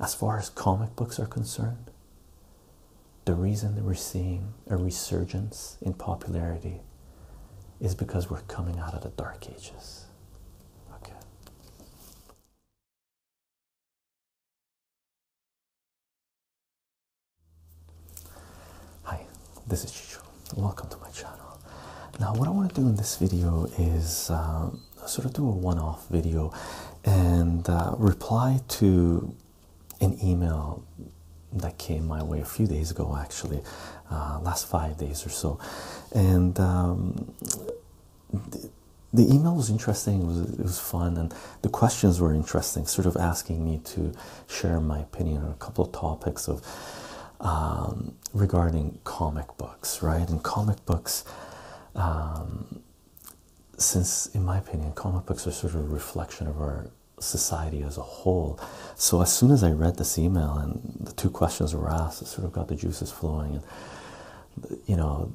as far as comic books are concerned, the reason we're seeing a resurgence in popularity is because we're coming out of the dark ages. Okay. Hi, this is Chichu. Welcome to my channel. Now, what I want to do in this video is um, sort of do a one-off video and uh, reply to an email that came my way a few days ago, actually, uh, last five days or so, and um, the, email was interesting. It was fun, and the questions were interesting. Sort of asking me to share my opinion on a couple of topics of. Um, regarding comic books, right? And comic books, um, since in my opinion, comic books are sort of a reflection of our society as a whole. So as soon as I read this email and the two questions were asked, it sort of got the juices flowing, and you know,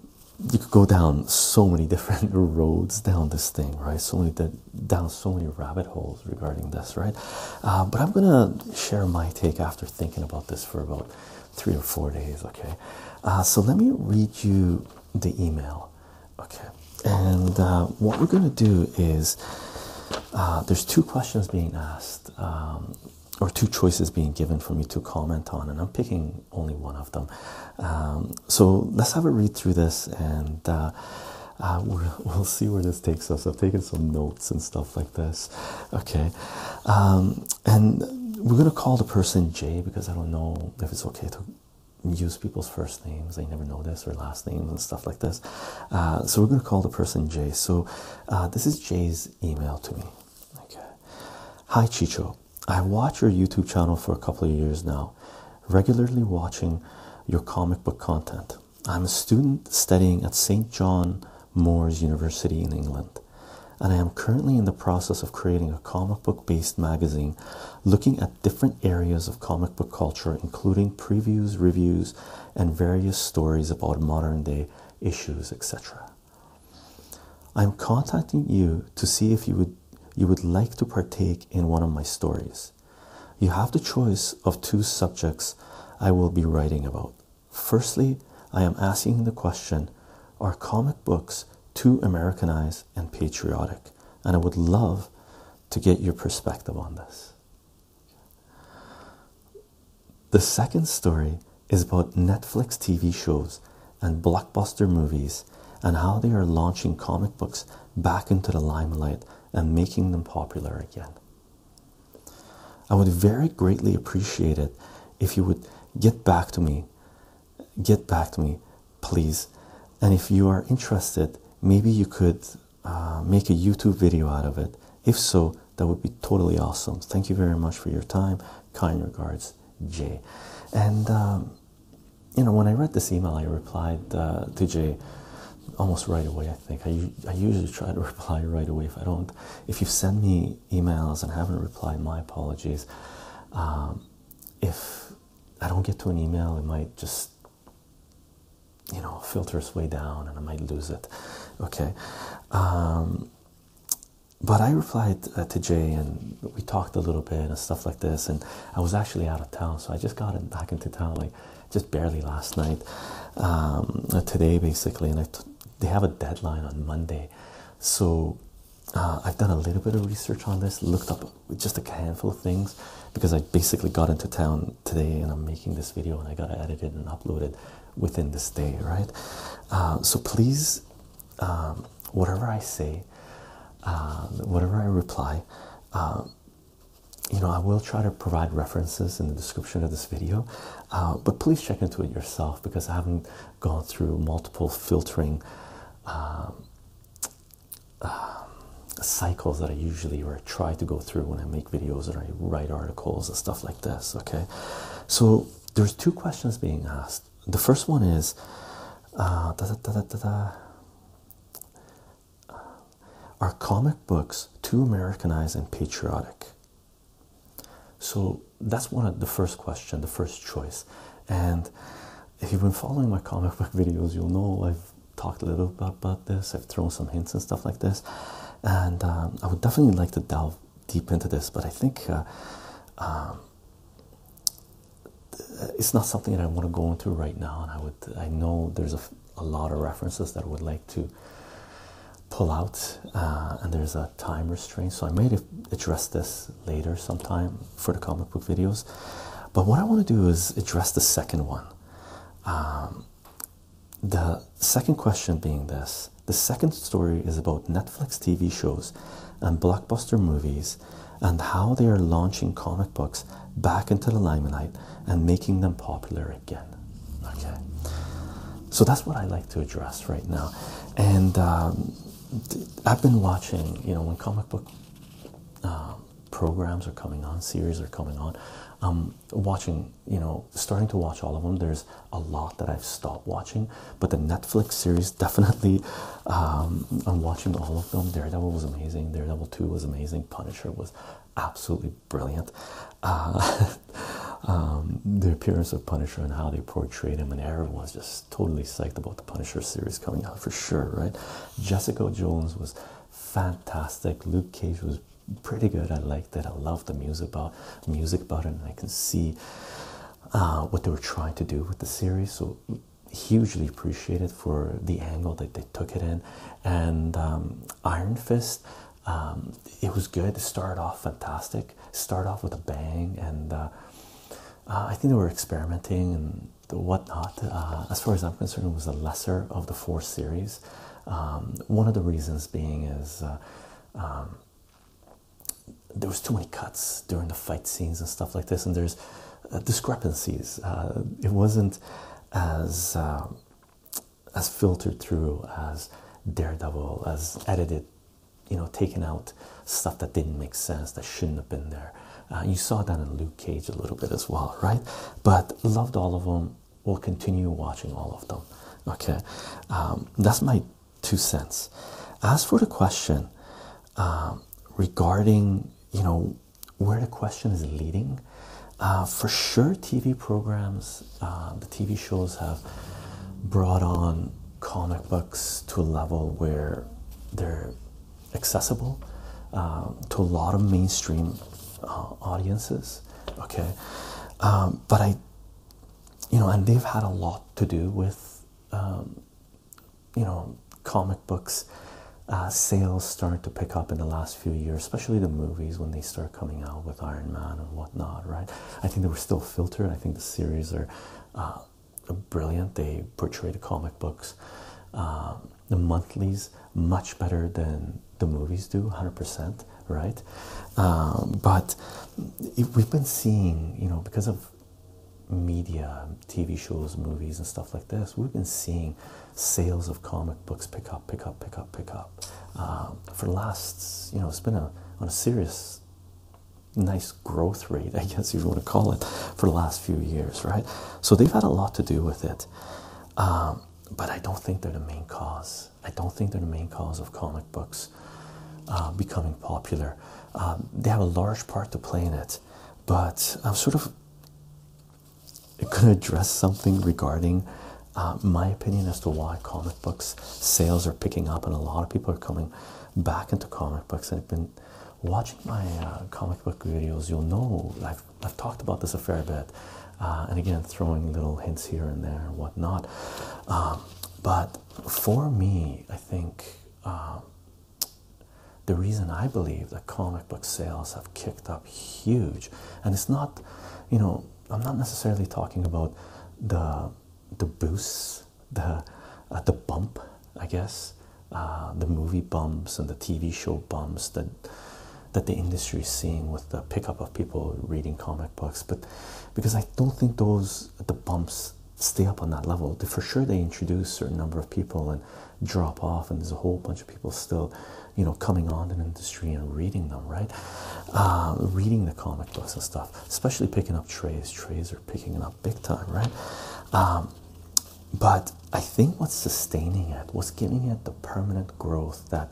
you could go down so many different roads down this thing, right? So many down so many rabbit holes regarding this, right? Uh, but I'm gonna share my take after thinking about this for about three or four days. Okay, uh, so let me read you the email. Okay, and uh, what we're gonna do is uh, there's two questions being asked, um, or two choices being given for me to comment on, and I'm picking only one of them. Um, so let's have a read through this and. we'll, see where this takes us. I've taken some notes and stuff like this. Okay. Um, and we're going to call the person Jay because I don't know if it's okay to use people's first names. I never know this or last names and stuff like this. Uh, so we're going to call the person Jay. So uh, this is Jay's email to me. Okay. Hi Chicho. I watch your YouTube channel for a couple of years now, regularly watching your comic book content. I'm a student studying at St. John Moor's University in England. And I am currently in the process of creating a comic book based magazine looking at different areas of comic book culture, including previews, reviews, and various stories about modern day issues, etc. I'm contacting you to see if you would, you would like to partake in one of my stories. You have the choice of two subjects I will be writing about Firstly, I am asking the question Are comic books too Americanized and patriotic? And I would love to get your perspective on this. The second story is about Netflix TV shows and blockbuster movies and how they are launching comic books back into the limelight and making them popular again. I would very greatly appreciate it if you would get back to me. Get back to me, please. And if you are interested, maybe you could uh, make a YouTube video out of it. If so, that would be totally awesome. Thank you very much for your time. Kind regards, Jay. And, um, you know, when I read this email, I replied uh, to Jay almost right away. I think I, I usually try to reply right away. If I don't, if you send me emails and haven't replied, my apologies. Um, if I don't get to an email, it might just, you know, filter its way down and I might lose it. Okay. Um, but I replied uh, to Jay and we talked a little bit and stuff like this. And I was actually out of town, so I just got in, back into town like just barely last night, um, today basically. And I they have a deadline on Monday. So uh, I've done a little bit of research on this, looked up just a handful of things because I basically got into town today and I'm making this video and I got to edit it and upload it within this day, right? Uh, so please, um, whatever I say, um, whatever I reply, um, you know, I will try to provide references in the description of this video, uh, but please check into it yourself because I haven't gone through multiple filtering um, um, cycles that I usually or I try to go through when I make videos or I write articles and stuff like this. Okay, so there's two questions being asked. The first one is. Uh, Are comic books too Americanized and patriotic? So that's one of the first question, the first choice. And if you've been following my comic book videos, you'll know I've talked a little bit about this. I've thrown some hints and stuff like this. And um, I would definitely like to delve deep into this, but I think uh, um, it's not something that I want to go into right now. And I would, I know there's a lot of references that I would like to pull out, uh, and there's a time restraint. So I may address this later sometime for the comic book videos. But what I want to do is address the second one. Um, the second question being this the second story is about Netflix TV shows and blockbuster movies and how they are launching comic books back into the limelight and making them popular again. Okay, so that's what I like to address right now, and um, I've been watching. You know, when comic book um, programs are coming on, series are coming on, watching. You know, starting to watch all of them. There's a lot that I've stopped watching, but the Netflix series definitely. Um, I'm watching all of them. Daredevil was amazing. Daredevil Two was amazing. Punisher was absolutely brilliant. Uh, Um, the appearance of Punisher and how they portrayed him, and everyone's just totally psyched about the Punisher series coming out for sure, right? Jessica Jones was fantastic. Luke Cage was pretty good. I liked it. I loved the music about music about it, and I can see uh, what they were trying to do with the series. So hugely appreciated for the angle that they took it in, and um, Iron Fist. Um, it was good. to start off fantastic. Start off with a bang, and uh, uh, I think they were experimenting and whatnot. Uh, as far as I'm concerned, it was the lesser of the four series. Um, one of the reasons being is um, there was too many cuts during the fight scenes and stuff like this, and there's discrepancies. it wasn't as as filtered through as Daredevil, as edited, you know, taken out stuff that didn't make sense, that shouldn't have been there. Uh, you saw that in Luke Cage a little bit as well, right? But loved all of them. We'll continue watching all of them. Okay, um, that's my two cents. As for the question um, regarding, you know, where the question is leading, uh, for sure, TV programs uh, the TV shows have brought on comic books to a level where they're accessible um, to a lot of mainstream uh, audiences. Okay, um, but I, you know, and they've had a lot to do with, um, you know, comic books. Uh, sales start to pick up in the last few years, especially the movies when they start coming out with Iron Man and whatnot, right? I think they were still filtered. I think the series are uh, brilliant. They portray the comic books, uh, the monthlies, much better than the movies do, 100%, right? Um, but we've been seeing, you know, because of media, TV shows, movies, and stuff like this, we've been seeing sales of comic books pick up, pick up, pick up, pick up. Um, for the last, you know, it's been a, on a serious, nice growth rate, I guess you want to call it, for the last few years, right? So they've had a lot to do with it. Um, but I don't think they're the main cause. I don't think they're the main cause of comic books uh, becoming popular. Um, they have a large part to play in it, but I'm sort of going to address something regarding uh, my opinion as to why comic books sales are picking up and a lot of people are coming back into comic books. And I've been watching my uh, comic book videos. You'll know I've talked about this a fair bit, uh, and again throwing little hints here and there and whatnot. Um, but for me, I think. Um, the reason I believe that comic book sales have kicked up huge, and it's not, you know, I'm not necessarily talking about the the boosts, the uh, the bump, I guess, uh, the movie bumps and the TV show bumps that that the industry is seeing with the pickup of people reading comic books, but because I don't think those the bumps stay up on that level. For sure, they introduce a certain number of people and drop off, and there's a whole bunch of people still, you know, coming on in the industry and reading them, right? Uh, reading the comic books and stuff, especially picking up trays. Trays are picking up big time, right? Um, but I think what's sustaining it, what's giving it the permanent growth that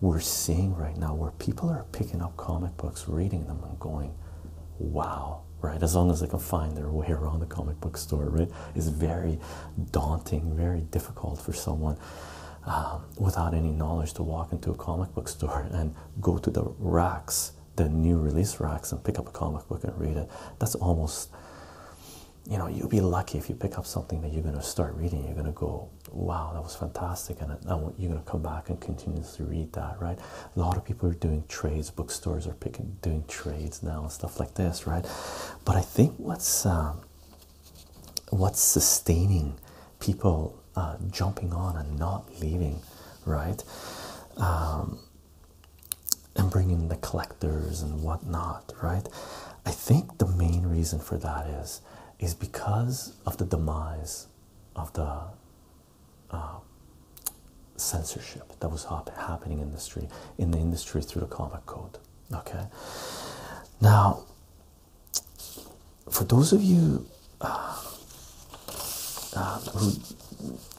we're seeing right now, where people are picking up comic books, reading them, and going, wow, right? As long as they can find their way around the comic book store, right? is very daunting, very difficult for someone um, without any knowledge to walk into a comic book store and go to the racks, the new release racks, and pick up a comic book and read it. That's almost, you know, you'll be lucky if you pick up something that you're going to start reading. You're going to go, wow, that was fantastic. And you're going to come back and continuously read that, right? A lot of people are doing trades, bookstores are picking, doing trades now and stuff like this, right? But I think what's, um, what's sustaining people jumping on and not leaving, right? Um, and bringing the collectors and whatnot, right? I think the main reason for that is is because of the demise of the uh, censorship that was happening in the industry in the industry through the comic code. Okay, now for those of you uh, uh, who,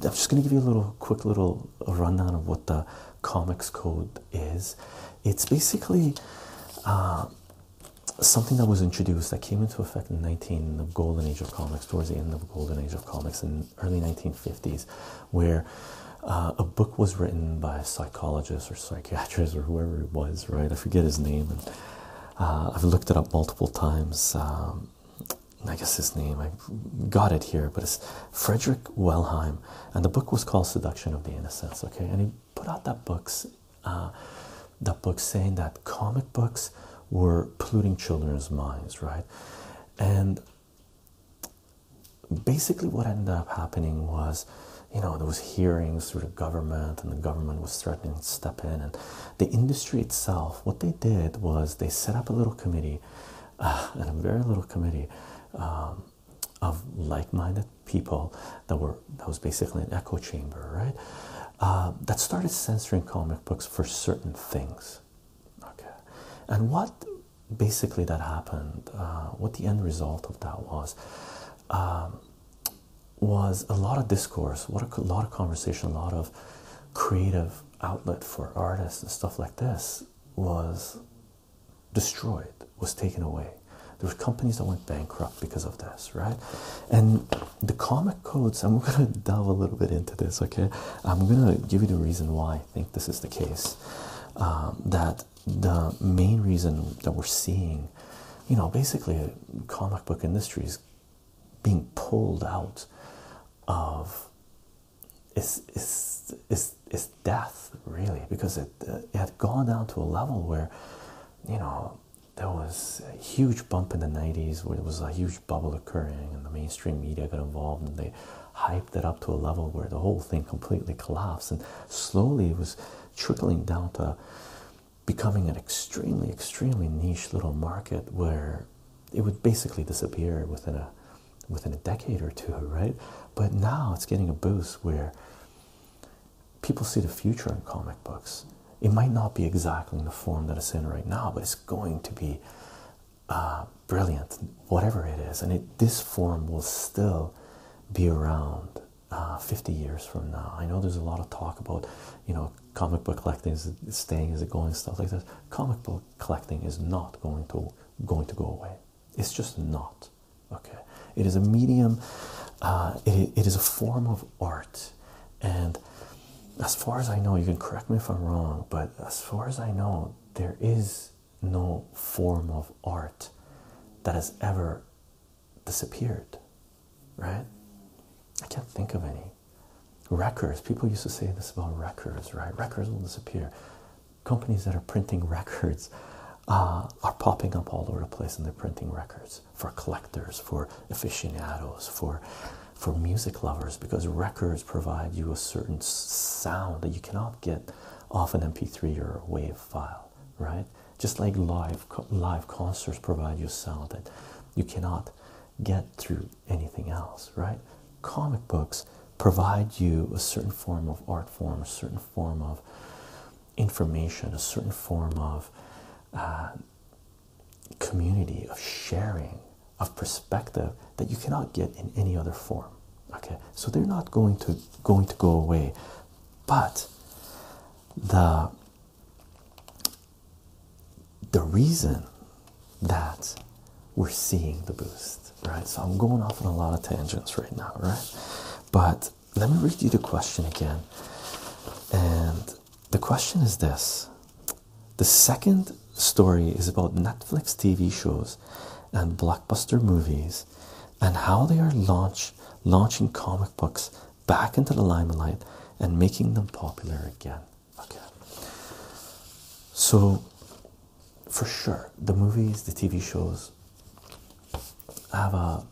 I'm just going to give you a little quick little rundown of what the comics code is. It's basically uh, something that was introduced that came into effect in 19 the golden age of comics, towards the end of the golden age of comics in early 1950s, where a book was written by a psychologist or psychiatrist or whoever it was, right? I forget his name, uh, I've looked it up multiple times. Um, I guess his name, I got it here, but it's Frederick Wellheim, and the book was called Seduction of the Innocents. Okay, and he put out that books, uh, that book saying that comic books were polluting children's minds, right? And basically, what ended up happening was you know there was hearings through the government and the government was threatening to step in and the industry itself what they did was they set up a little committee uh, and a very little committee um, of like-minded people that were that was basically an echo chamber right uh, that started censoring comic books for certain things okay and what basically that happened uh, what the end result of that was um, was a lot of discourse, what a, lot of conversation, a lot of creative outlet for artists and stuff like this was destroyed, was taken away. There were companies that went bankrupt because of this, right? And the comic codes, I'm gonna delve a little bit into this, okay? I'm gonna give you the reason why I think this is the case. Um, that the main reason that we're seeing, you know, basically comic book industry is being pulled out of is is is is death really because it, it had gone down to a level where you know there was a huge bump in the 90s where there was a huge bubble occurring and the mainstream media got involved and they hyped it up to a level where the whole thing completely collapsed and slowly it was trickling down to becoming an extremely, extremely niche little market where it would basically disappear within a within a decade or two, right? But now it's getting a boost where people see the future in comic books. It might not be exactly in the form that it's in right now, but it's going to be uh, brilliant, whatever it is, and this form will still be around uh, 50 years from now. I know there's a lot of talk about, you know, comic book collecting is staying, is it going, stuff like that. Comic book collecting is not going to going to go away. It's just not. Okay, it is a medium. Uh, it, it is a form of art, and as far as I know, you can correct me if I'm wrong, but as far as I know, there is no form of art that has ever disappeared, right? I can't think of any. Records, people used to say this about records, right? Records will disappear. Companies that are printing records uh, are popping up all over the place and they're printing records for collectors, for aficionados, for for music lovers because records provide you a certain sound that you cannot get off an mp3 or a wave file right just like live live concerts provide you sound that you cannot get through anything else right comic books provide you a certain form of art form a certain form of information a certain form of uh, community of sharing of perspective that you cannot get in any other form okay so they're not going to going to go away but the the reason that we're seeing the boost, right? So I'm going off on a lot of tangents right now, right? But let me read you the question again. And the question is this the second story is about Netflix TV shows and blockbuster movies and how they are launching comic books back into the limelight and making them popular again. Okay. So, for sure, the movies, the TV shows have a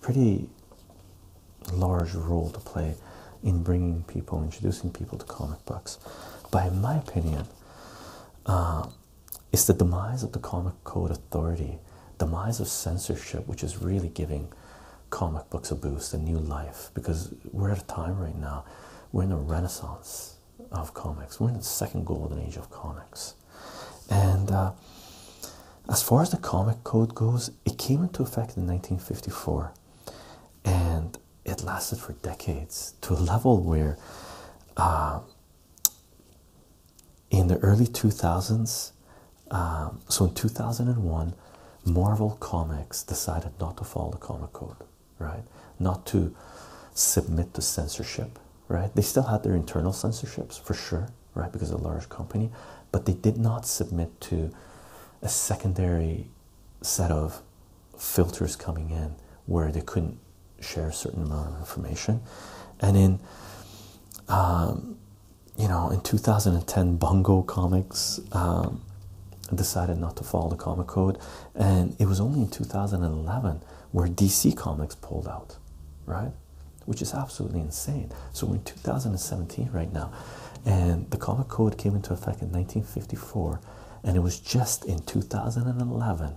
pretty large role to play in bringing people, introducing people to comic books. But in my opinion, uh, it's the demise of the comic code authority, demise of censorship, which is really giving comic books a boost, a new life, because we're at a time right now, we're in a renaissance of comics, we're in the second golden age of comics. And uh, as far as the comic code goes, it came into effect in 1954 and it lasted for decades to a level where uh, in the early 2000s, um, so in 2001, Marvel Comics decided not to follow the comic code, right? Not to submit to censorship, right? They still had their internal censorships for sure, right? Because of a large company, but they did not submit to a secondary set of filters coming in where they couldn't share certain amount of information. And in um, you know, in 2010, Bongo Comics um, decided not to follow the comic code, and it was only in 2011 where DC Comics pulled out, right? Which is absolutely insane. So we're in 2017 right now, and the comic code came into effect in 1954, and it was just in 2011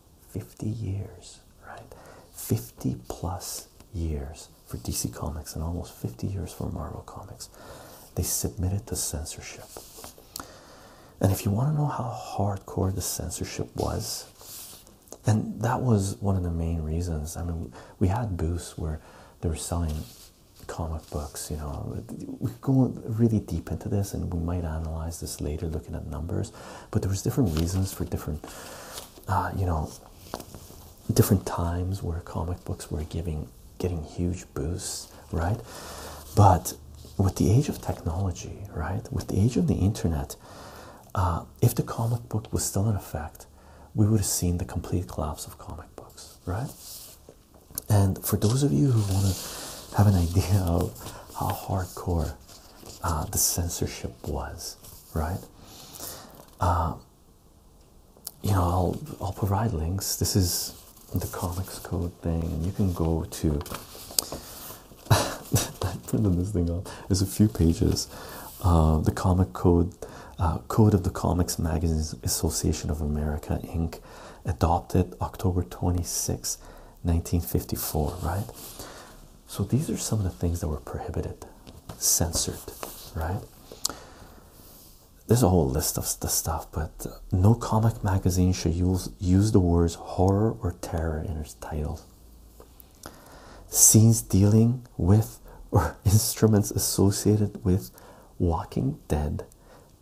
50 years, right? 50 plus years for DC Comics and almost 50 years for Marvel Comics. They submitted to censorship. And if you want to know how hardcore the censorship was, and that was one of the main reasons. I mean, we had booths where they were selling comic books, you know. We go really deep into this, and we might analyze this later looking at numbers but there was different reasons for different uh, you know different times where comic books were giving getting huge boosts right but with the age of technology right with the age of the internet uh, if the comic book was still in effect we would have seen the complete collapse of comic books right and for those of you who want to have an idea of how hardcore uh, the censorship was, right? Uh, you know, I'll provide links. This is the comics code thing, and you can go to. I printed this thing off. There's a few pages. Uh, the comic code, uh, code of the Comics Magazines Association of America, Inc., adopted October 26, 1954, right? So these are some of the things that were prohibited, censored, right? There's a whole list of the stuff, but uh, no comic magazine should use the words horror or terror in its title. Scenes dealing with or instruments associated with Walking Dead,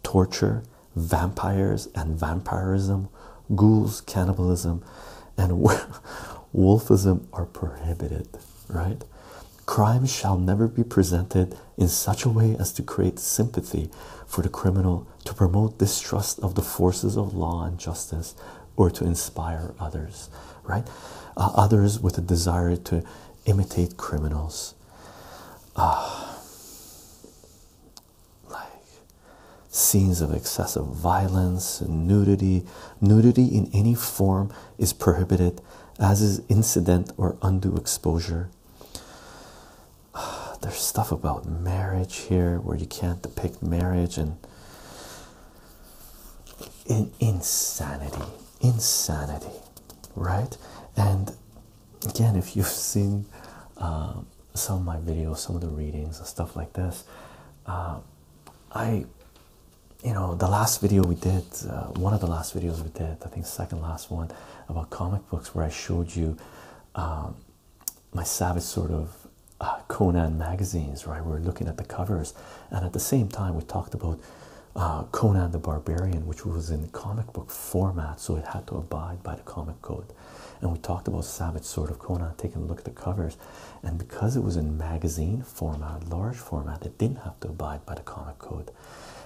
torture, vampires and vampirism, ghouls, cannibalism, and wolfism are prohibited, right? Crimes shall never be presented in such a way as to create sympathy for the criminal, to promote distrust of the forces of law and justice, or to inspire others, right? Uh, others with a desire to imitate criminals. Uh, like scenes of excessive violence, nudity. Nudity in any form is prohibited, as is incident or undue exposure. There's stuff about marriage here where you can't depict marriage and insanity, insanity, right? And again, if you've seen um, some of my videos, some of the readings and stuff like this. Uh, I, you know, the last video we did, uh, one of the last videos we did, I think second last one about comic books, where I showed you um, my savage sort of uh, Conan magazines. Right, we are looking at the covers, and at the same time we talked about. Conan the Barbarian, which was in comic book format, so it had to abide by the comic code and we talked about Savage Sword of Conan, taking a look at the covers, and because it was in magazine format, large format, it didn't have to abide by the comic code.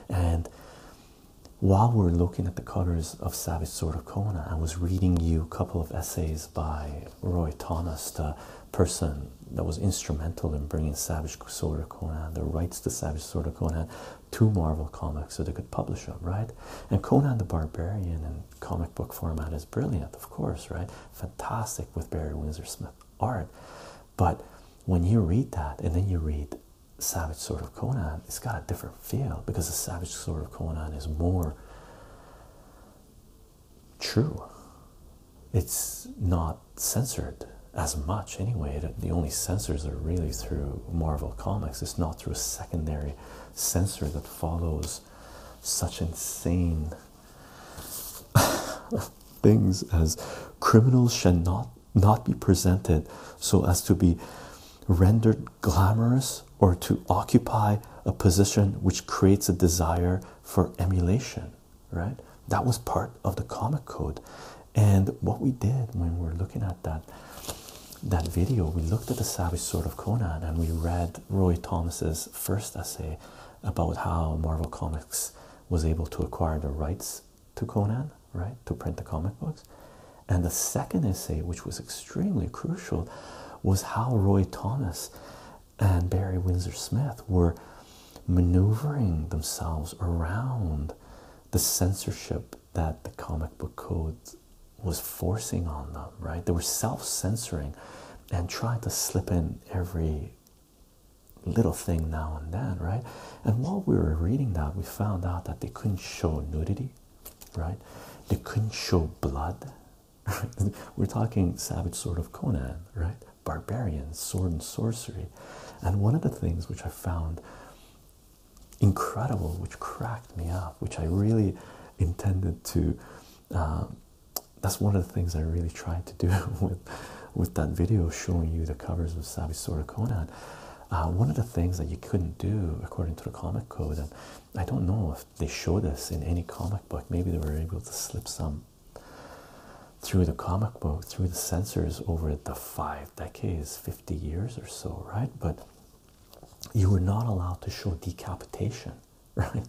And while we are looking at the covers of Savage Sword of Conan, I was reading you a couple of essays by Roy Thomas, the person that was instrumental in bringing Savage Sword of Conan, the rights to Savage Sword of Conan two Marvel comics so they could publish them, right? And Conan the Barbarian in comic book format is brilliant, of course, right? Fantastic with Barry Windsor Smith art. But when you read that and then you read Savage Sword of Conan, it's got a different feel because the Savage Sword of Conan is more true. It's not censored as much anyway. The only censors are really through Marvel Comics. It's not through a secondary censor that follows such insane things as criminals shall not not be presented so as to be rendered glamorous or to occupy a position which creates a desire for emulation right that was part of the comic code and what we did when we were looking at that that video, we looked at the Savage Sword of Conan and we read Roy Thomas's first essay about how Marvel Comics was able to acquire the rights to Conan, right, to print the comic books. And the second essay, which was extremely crucial, was how Roy Thomas and Barry Windsor Smith were maneuvering themselves around the censorship that the comic book code was forcing on them, right? They were self censoring and trying to slip in every little thing now and then, right? And while we were reading that, we found out that they couldn't show nudity, right? They couldn't show blood. We're talking Savage Sword of Conan, right? Barbarians, sword and sorcery. And one of the things which I found incredible, which cracked me up, which I really intended to. Um, that's one of the things I really tried to do with with that video showing you the covers of Savvy Conan. Uh, one of the things that you couldn't do according to the comic code, and I don't know if they showed this in any comic book, maybe they were able to slip some through the comic book, through the censors over the five decades, 50 years or so, right? But you were not allowed to show decapitation, right?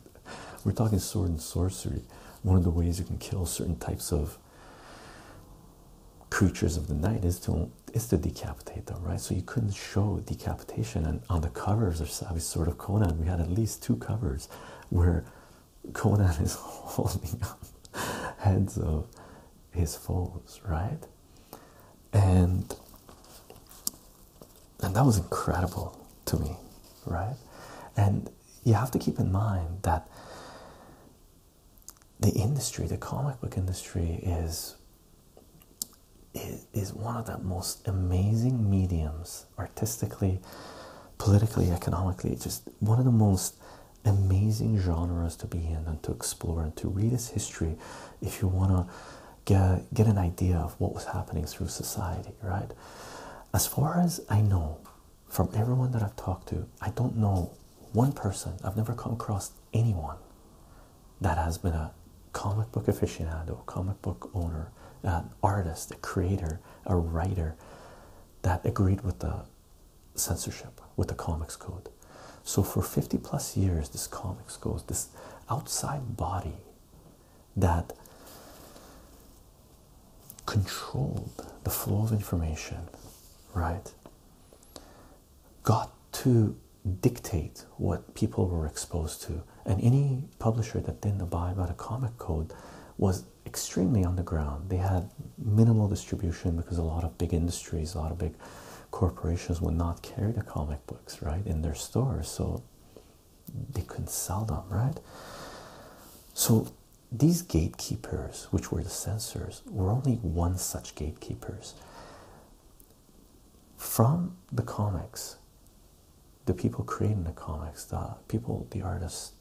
We're talking sword and sorcery, one of the ways you can kill certain types of creatures of the night is to is to decapitate them, right? So you couldn't show decapitation, and on the covers of Savage Sword of Conan, we had at least two covers where Conan is holding up heads of his foes, right? and and that was incredible to me, right? And you have to keep in mind that the industry, the comic book industry, is is, one of the most amazing mediums, artistically, politically, economically, just one of the most amazing genres to be in and to explore and to read its history if you want to get get an idea of what was happening through society, right? As far as I know, from everyone that I've talked to, I don't know one person. I've never come across anyone that has been a comic book aficionado, comic book owner, artist, a creator, a writer that agreed with the censorship, with the comics code. So for 50 plus years, this comics goes, this outside body that controlled the flow of information, right, got to dictate what people were exposed to. And any publisher that didn't abide by the comic code was extremely underground. They had minimal distribution because a lot of big industries, a lot of big corporations would not carry the comic books right in their stores, so they couldn't sell them, right? So these gatekeepers, which were the censors, were only one such gatekeepers. From the comics, the people creating the comics, the people, the artists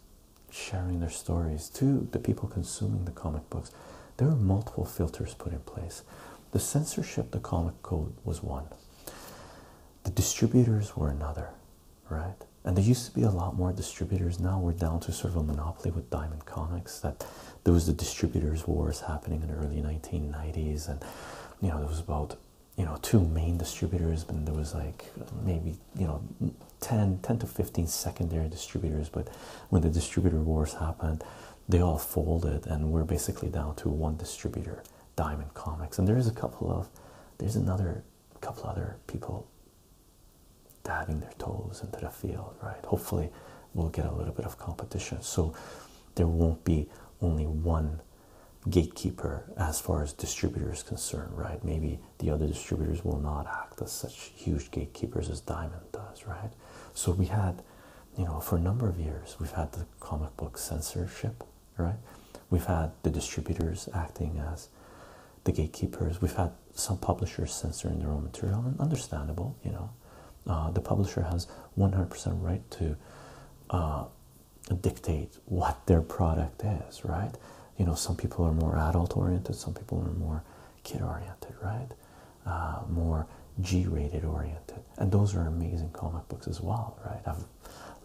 sharing their stories, to the people consuming the comic books, there are multiple filters put in place. The censorship, the comic code was one. The distributors were another, right? And there used to be a lot more distributors. Now we're down to sort of a monopoly with Diamond Comics. That there was the distributors wars happening in the early 1990s, and you know there was about you know two main distributors, and there was like maybe you know 10, 10 to 15 secondary distributors. But when the distributor wars happened, they all folded and we're basically down to one distributor diamond comics and there's a couple of there's another couple other people dabbing their toes into the field right hopefully we'll get a little bit of competition so there won't be only one gatekeeper as far as distributors concerned right maybe the other distributors will not act as such huge gatekeepers as diamond does right so we had you know, for a number of years, we've had the comic book censorship, right? We've had the distributors acting as the gatekeepers. We've had some publishers censoring their own material, and understandable, you know. Uh, the publisher has 100% right to uh, dictate what their product is, right? You know, some people are more adult oriented, some people are more kid oriented, right? Uh, more G-rated oriented, and those are amazing comic books as well, right? I've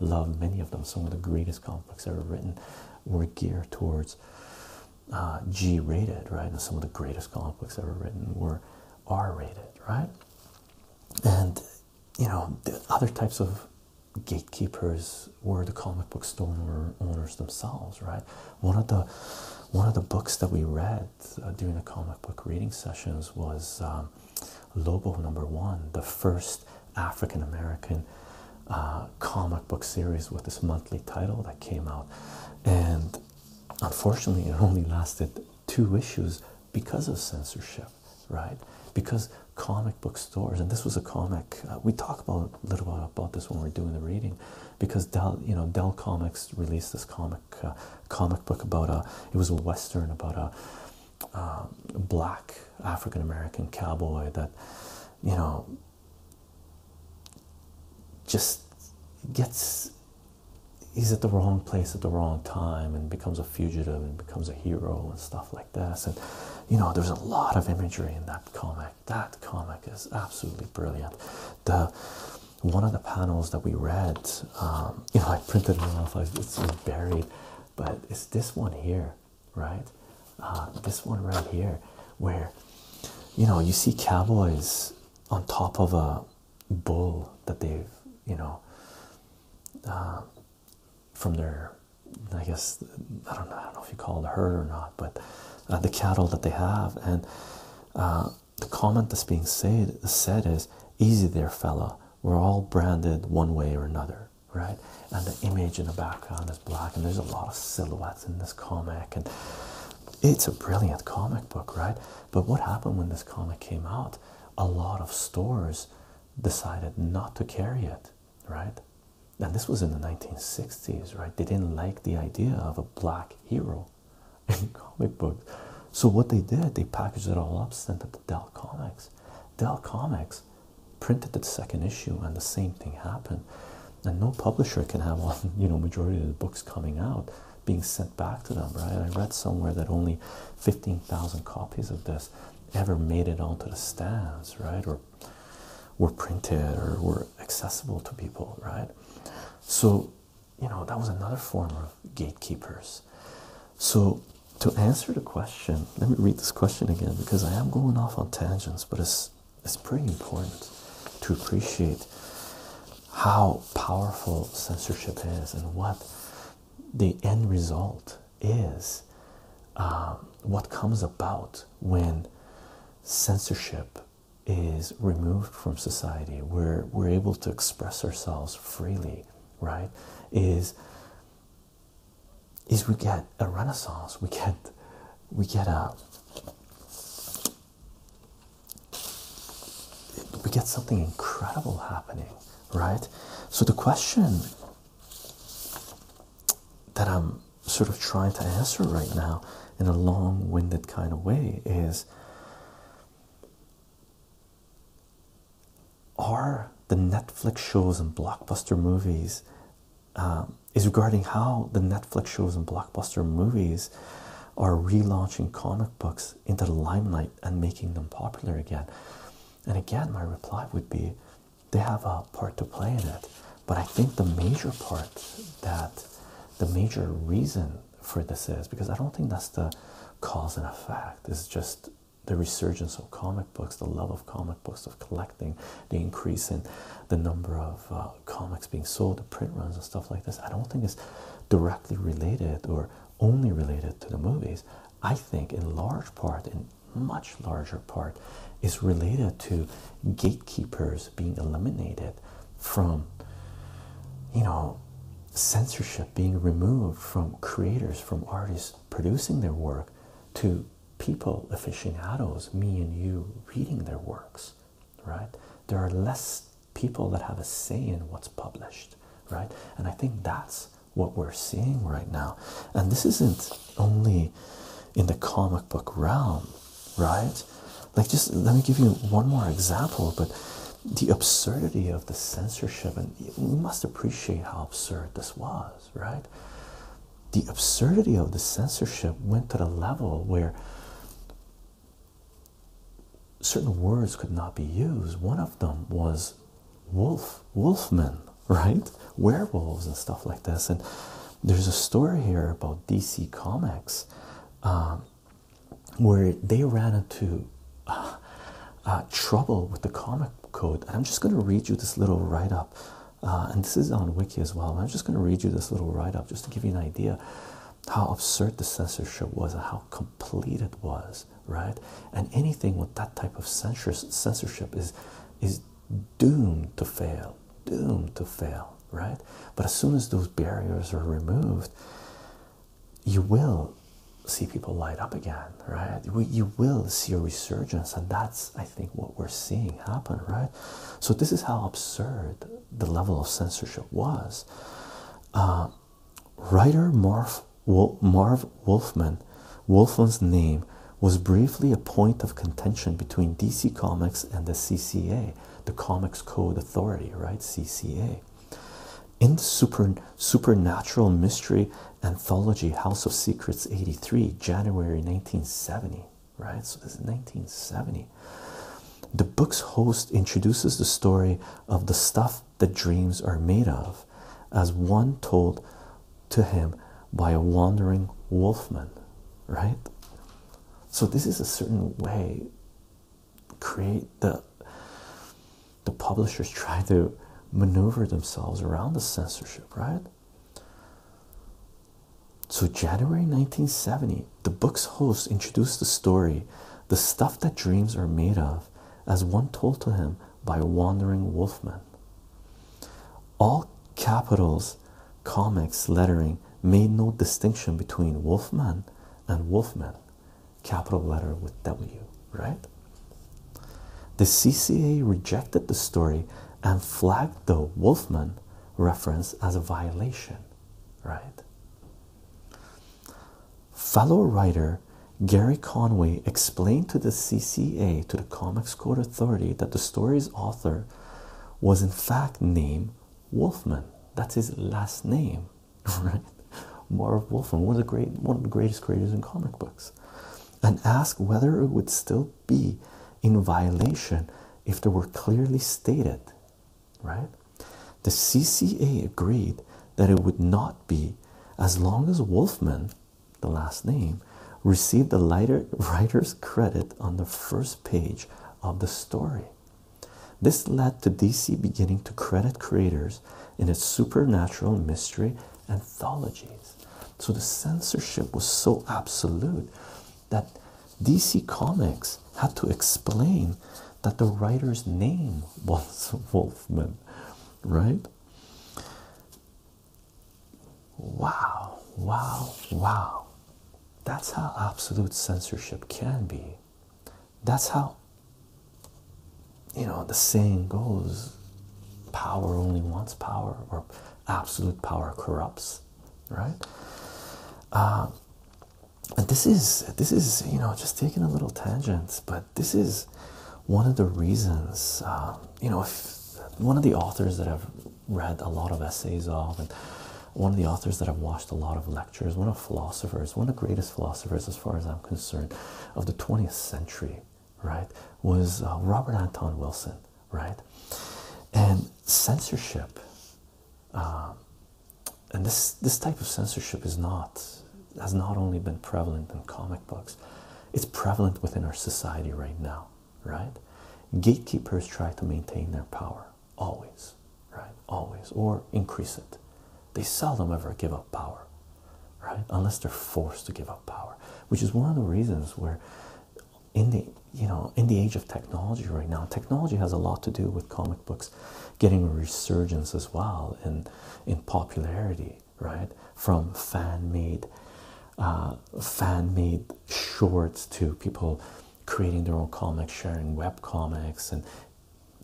loved many of them. Some of the greatest comic books ever written were geared towards uh, G-rated, right? And some of the greatest comic books ever written were R-rated, right? And you know, other types of gatekeepers were the comic book store owners themselves, right? One of the one of the books that we read uh, doing the comic book reading sessions was um, Lobo number one, the first African American uh, comic book series with this monthly title that came out. And unfortunately, it only lasted two issues because of censorship, right? Because comic book stores, and this was a comic, uh, we talk about a little bit about this when we're doing the reading, because Dell, you know, Dell Comics released this comic uh, comic book about a it was a western about a um, black African American cowboy that you know just gets he's at the wrong place at the wrong time and becomes a fugitive and becomes a hero and stuff like this and you know there's a lot of imagery in that comic that comic is absolutely brilliant the one of the panels that we read. Um, you know, I printed it off, it's buried, but it's this one here, right? Uh, this one right here, where you know you see cowboys on top of a bull that they've you know uh, from their I guess I don't know I don't know if you call it a herd or not, but uh, the cattle that they have, and the comment that's being said said is easy there fella we're all branded one way or another right and the image in the background is black and there's a lot of silhouettes in this comic and it's a brilliant comic book right but what happened when this comic came out a lot of stores decided not to carry it right and this was in the 1960s right they didn't like the idea of a black hero in comic books. So what they did, they packaged it all up, sent it to Dell Comics. Dell Comics printed the second issue, and the same thing happened. And no publisher can have one, you know, majority of the books coming out being sent back to them, right? I read somewhere that only 15,000 copies of this ever made it onto the stands, right? Or were printed or were accessible to people, right? So you know, that was another form of gatekeepers. So, to answer the question, let me read this question again because I am going off on tangents, but it's it's pretty important to appreciate how powerful censorship is and what the end result is, um, what comes about when censorship is removed from society, where we're able to express ourselves freely, right? Is is we get a renaissance, we get we get a we get something incredible happening, right? So the question that I'm sort of trying to answer right now in a long winded kind of way is are the Netflix shows and blockbuster movies um, is regarding how the Netflix shows and blockbuster movies are relaunching comic books into the limelight and making them popular again. And again, my reply would be they have a part to play in it. But I think the major part that the major reason for this is because I don't think that's the cause and effect. It's just the resurgence of comic books, the love of comic books, of collecting, the increase in the number of uh, comics being sold, the print runs and stuff like this. I don't think it's directly related or only related to the movies. I think, in large part, in much larger part, is related to gatekeepers being eliminated from you know censorship being removed from creators from artists producing their work to people aficionados me and you reading their works right there are less people that have a say in what's published right and i think that's what we're seeing right now and this isn't only in the comic book realm right? Like, just let me give you one more example, but the absurdity of the censorship, and we must appreciate how absurd this was, right? The absurdity of the censorship went to the level where certain words could not be used. One of them was wolf, wolfmen, right? Werewolves and stuff like this. And there's a story here about DC Comics um, where they ran into uh, uh, trouble with the comic code. And I'm just going to read you this little write up, uh, and this is on Wiki as well. I'm just going to read you this little write up just to give you an idea how absurd the censorship was and how complete it was, right? And anything with that type of censorship is is doomed to fail, doomed to fail, right? But as soon as those barriers are removed, you will see people light up again, right? You will see a resurgence, and that's, I think, what we're seeing happen, right? So, this is how absurd the level of censorship was. Uh, writer Marv, Marv Wolfman, Wolfman's name was briefly a point of contention between DC Comics and the CCA the Comics Code Authority, right? CCA. In the super, Supernatural Mystery Anthology House of Secrets 83, January 1970, right? So this is 1970. The book's host introduces the story of the stuff that dreams are made of, as one told to him by a wandering wolfman, right? So, this is a certain way create the the publishers try to maneuver themselves around the censorship, right? So January 1970, the book's host introduced the story, The Stuff That Dreams Are Made Of, as one told to him by a Wandering Wolfman. All capitals comics lettering made no distinction between Wolfman and Wolfman, capital letter with W, right? The CCA rejected the story and flagged the Wolfman reference as a violation, right? Fellow writer Gary Conway explained to the CCA, to the Comics Code Authority, that the story's author was in fact named Wolfman. That's his last name, right? Marv Wolfman, one of the great, one of the greatest creators in comic books, and ask whether it would still be in violation if there were clearly stated, right? The CCA agreed that it would not be as long as Wolfman, the last name, received the lighter writer's credit on the first page of the story. This led to DC beginning to credit creators in its supernatural mystery anthologies. So the censorship was so absolute that DC Comics had to explain that the writer's name was Wolfman, right? Wow, wow, wow. That's how absolute censorship can be. That's how, you know, the saying goes power only wants power, or absolute power corrupts, right? Um, and this is this is you know just taking a little tangent, but this is one of the reasons um, you know one of the authors that have read a lot of essays of, and one of the authors that I've watched a lot of lectures, one of philosophers, one of the greatest philosophers, as far as I'm concerned, of the 20th century, right, was uh, Robert Anton Wilson, right? And censorship, um, and this this type of censorship is not has not only been prevalent in comic books, it's prevalent within our society right now, right? Gatekeepers try to maintain their power, always, right? Always, or increase it. They seldom ever give up power, right? Unless they're forced to give up power, which is one of the reasons where, in the you know, in the age of technology right now, technology has a lot to do with comic books getting a resurgence as well in in popularity, right? From fan made, uh, fan made shorts to people creating their own comics, sharing web comics, and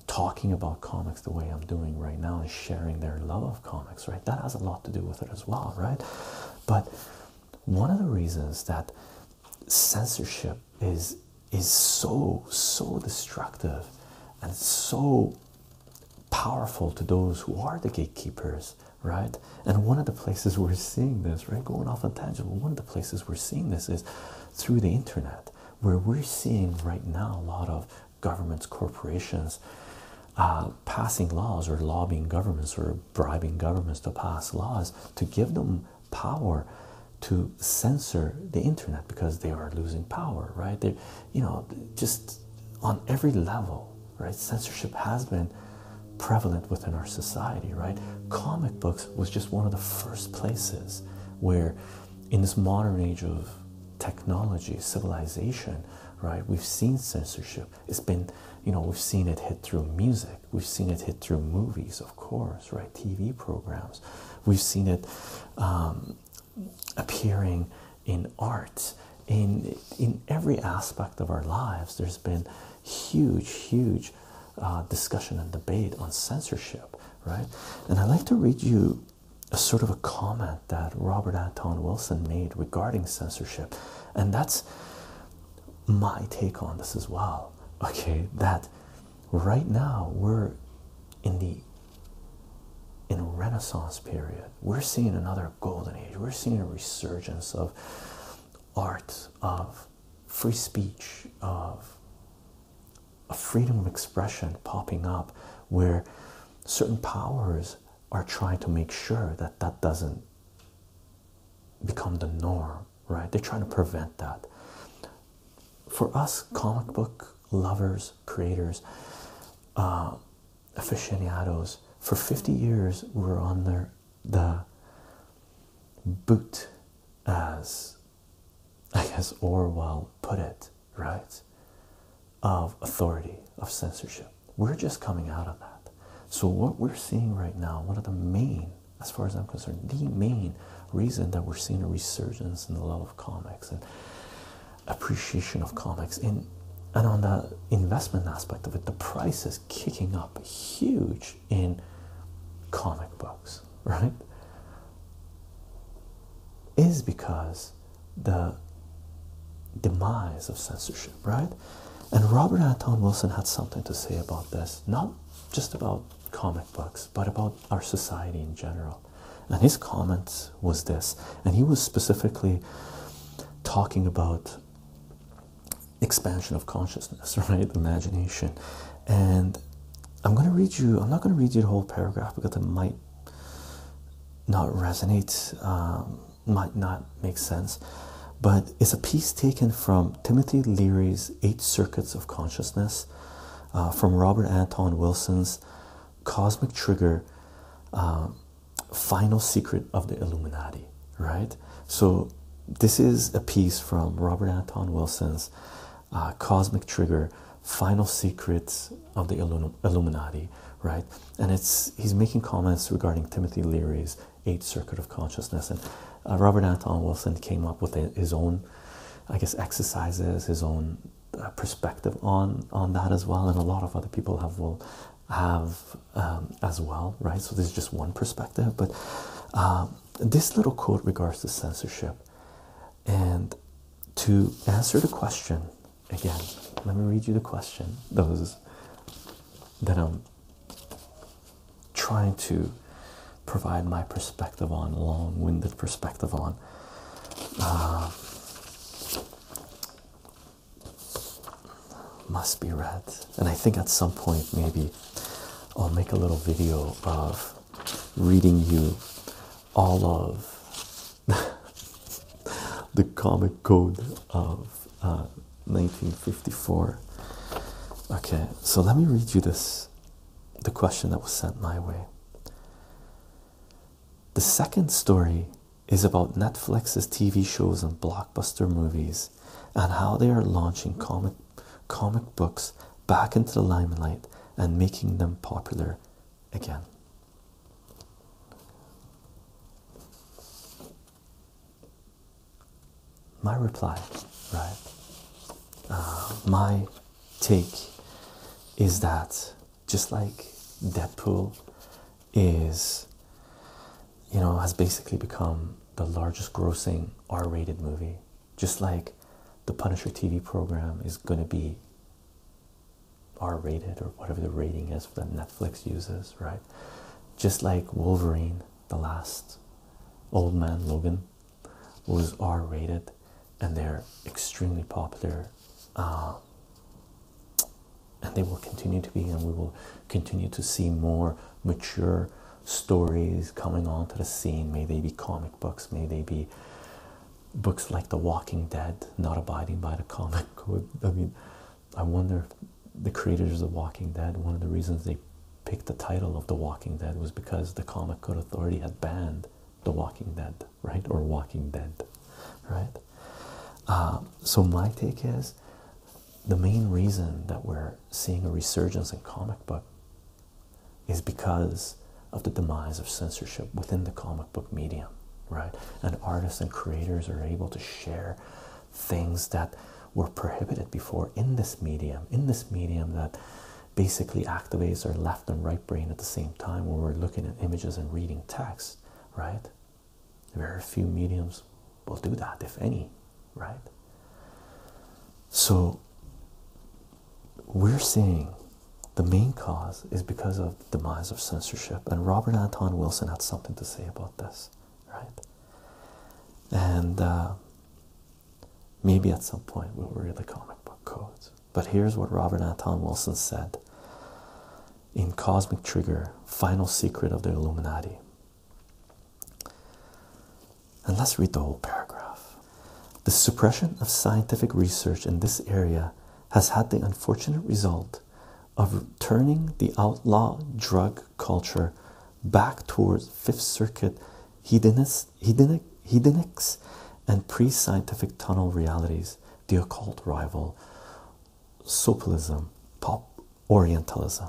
talking about comics the way I'm doing right now and sharing their love of comics, right? That has a lot to do with it as well, right? But one of the reasons that censorship is is so so destructive and so powerful to those who are the gatekeepers right and one of the places we're seeing this right going off on tangible, one of the places we're seeing this is through the internet, where we're seeing right now a lot of governments, corporations uh, passing laws or lobbying governments or bribing governments to pass laws to give them power to censor the internet because they are losing power, right? They're, you know, just on every level, right? Censorship has been prevalent within our society, right? Comic books was just one of the first places where, in this modern age of technology, civilization, right, we've seen censorship. It's been, you know, we've seen it hit through music, we've seen it hit through movies, of course, right? TV programs, we've seen it um, appearing in art. In, in every aspect of our lives, there's been huge, huge uh, discussion and debate on censorship, right? And I'd like to read you a sort of a comment that Robert Anton Wilson made regarding censorship, and that's my take on this as well. Okay, that right now we're in the in Renaissance period, we're seeing another golden age. We're seeing a resurgence of art, of free speech, of a freedom of expression popping up where certain powers are trying to make sure that that doesn't become the norm, right? They're trying to prevent that. For us, comic book lovers, creators, uh, aficionados, for 50 years we are on under the boot as I guess Orwell put it, right? Of authority, of censorship. We're just coming out of that. So, what we're seeing right now, one of the main, as far as I'm concerned, the main reason that we're seeing a resurgence in the love of comics and appreciation of comics, and and on the investment aspect of it, the price is kicking up huge in comic books, right? Is because the demise of censorship, right? And Robert Anton Wilson had something to say about this, not just about comic books, but about our society in general. And his comment was this, and he was specifically talking about expansion of consciousness, right? Imagination. And I'm going to read you, I'm not going to read you the whole paragraph because it might not resonate, um, might not make sense. But it's a piece taken from Timothy Leary's Eight Circuits of Consciousness, uh, from Robert Anton Wilson's Cosmic Trigger uh, Final Secret of the Illuminati right? So, this is a piece from Robert Anton Wilson's uh, Cosmic Trigger Final Secrets of the Illuminati, right? And it's he's making comments regarding Timothy Leary's Eighth Circuit of Consciousness. And uh, Robert Anton Wilson came up with his own, I guess, exercises, his own uh, perspective on, on that as well. And a lot of other people have will have um, as well, right? So, this is just one perspective, but this little quote regards to censorship. And to answer the question again, let me read you the question that was that I'm trying to provide my perspective on, long-winded perspective on. Uh, must be read and I think at some point maybe I'll make a little video of reading you all of the comic code of 1954. Uh, okay, so let me read you this the question that was sent my way. The second story is about Netflix's TV shows and blockbuster movies and how they are launching comic comic books back into the limelight and making them popular again. My reply, right? Uh, my take is that just like Deadpool is you know, has basically become the largest grossing R rated movie. Just like the Punisher TV program is going to be R rated or whatever the rating is that Netflix uses, right? Just like Wolverine, the last Old Man Logan was R rated and they're extremely popular. Uh, and they will continue to be, and we will continue to see more mature stories coming onto the scene. May they be comic books, may they be books like The Walking Dead, not abiding by the comic code. I mean, I wonder if the creators of Walking Dead, one of the reasons they picked the title of The Walking Dead was because the Comic Code Authority had banned The Walking Dead, right? Or Walking Dead, right? Uh, so, my take is the main reason that we're seeing a resurgence in comic book is because of the demise of censorship within the comic book medium, right? And artists and creators are able to share things that were prohibited before in this medium, in this medium that basically activates our left and right brain at the same time when we're looking at images and reading text, right? Very few mediums will do that, if any, right? So we're saying the main cause is because of demise of censorship, and Robert Anton Wilson had something to say about this, right? And uh, maybe at some point we'll read the comic book codes. But here's what Robert Anton Wilson said in Cosmic Trigger Final Secret of the Illuminati and let's read the whole paragraph. The suppression of scientific research in this area has had the unfortunate result of turning the outlaw drug culture back towards Fifth Circuit hedonist, hedonics and pre scientific tunnel realities, the occult rival, sopalism, pop, Orientalism.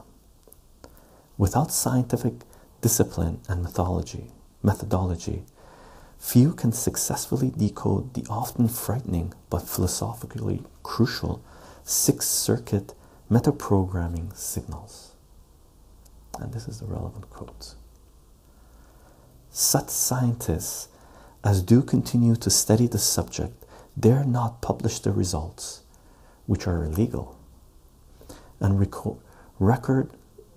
Without scientific discipline and methodology, few can successfully decode the often frightening but philosophically crucial six circuit metaprogramming signals. And this is the relevant quote. Such scientists as do continue to study the subject dare not publish the results, which are illegal and record record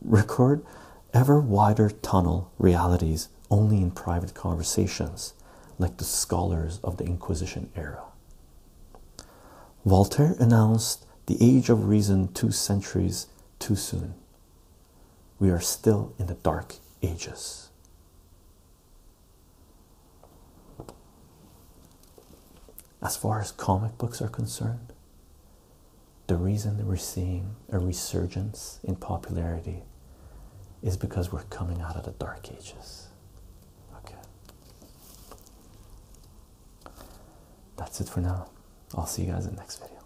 record ever wider tunnel realities only in private conversations like the scholars of the inquisition era voltaire announced the age of reason two centuries too soon we are still in the dark ages as far as comic books are concerned, the reason we're seeing a resurgence in popularity is because we're coming out of the dark ages. Okay. That's it for now. I'll see you guys in the next video.